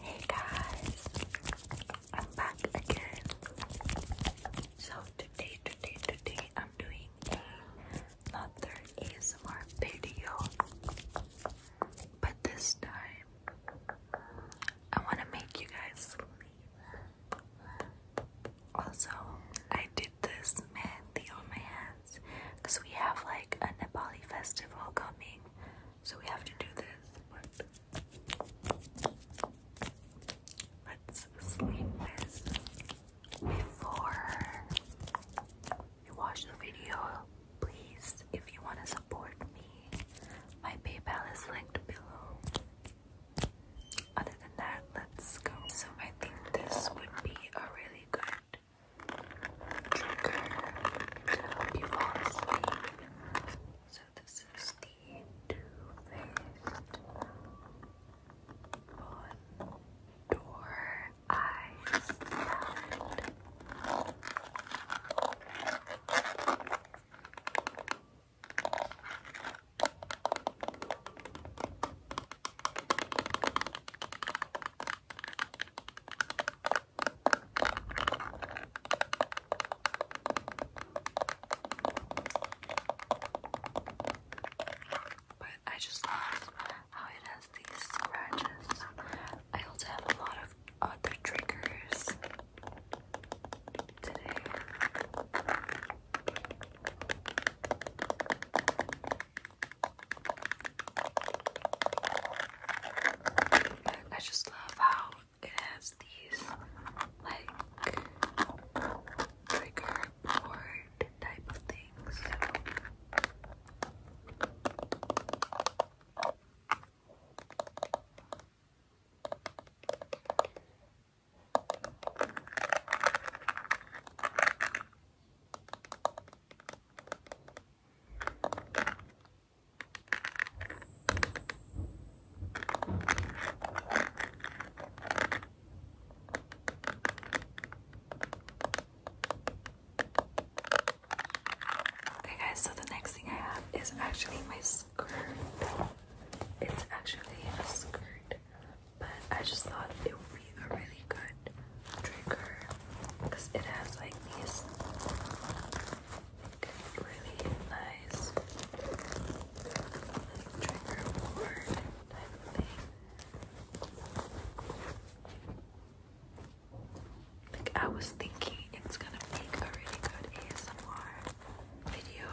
Hey guys, I'm back again. So today, today, today, I'm doing another ASMR video, but this time I want to make you guys sleep. Also, I did this mehndi on my hands because we have like a Nepali festival coming so we have to do this, let's sleep before you watch the video. Please, if you want to support me, my PayPal is linked below. Other than that, let's go. So I think this would be a really good trigger to help you fall asleep. So this is the two-faced Bondor Eyes but I just love how it has these scratches. I also have a lot of other triggers today. But I just love how it has these like trigger board type of things. I Okay, guys, so the next thing I have is actually my skirt. It's actually a skirt, but I just thought it would be a really good trigger because it has like these really nice trigger board type of thing. Like I was thinking it's gonna make a really good ASMR video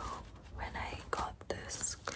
when I got this skirt.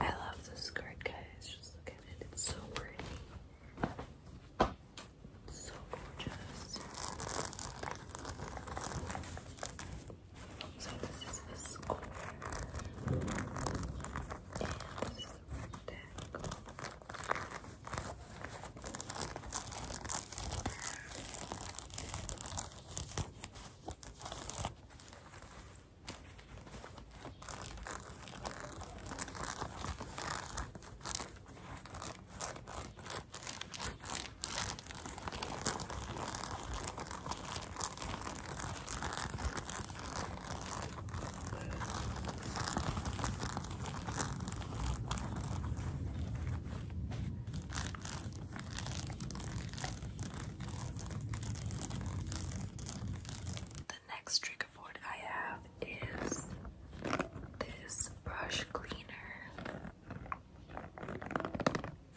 I love this skirt, guys. Just look at it. so pretty. It's so gorgeous. So this is the score. And the next trick trigger board I have is this brush cleaner.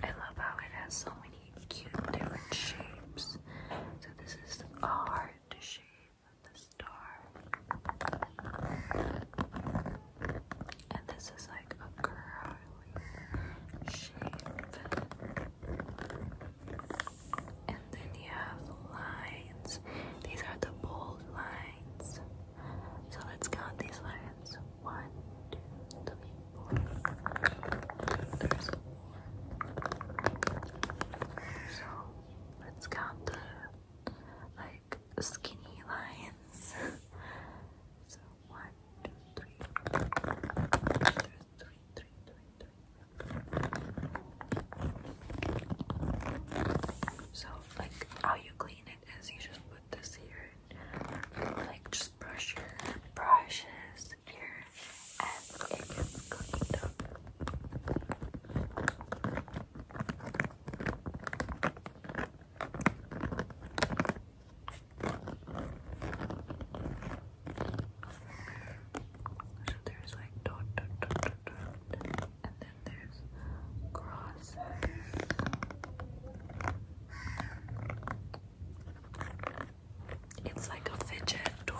I love how it has so many cute different shapes. So this is the heart shape of the star. And this is like a curly shape. And then you have the lines. These are the bold lines. So let's count these lines. One, two, three, so let's count the like skinny lines. so one, two, three. There's three, three, three, three. So like how you clean it is you just put this here and like just brush your brushes secure as it gets cooked So there's like dot dot dot dot dot and then there's crosses. It's like a fidget toy.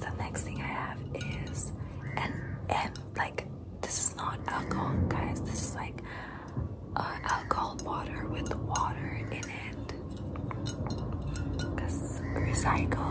The next thing I have is an M. Like this is not alcohol, guys. This is like alcohol water with water in it. Cause recycle.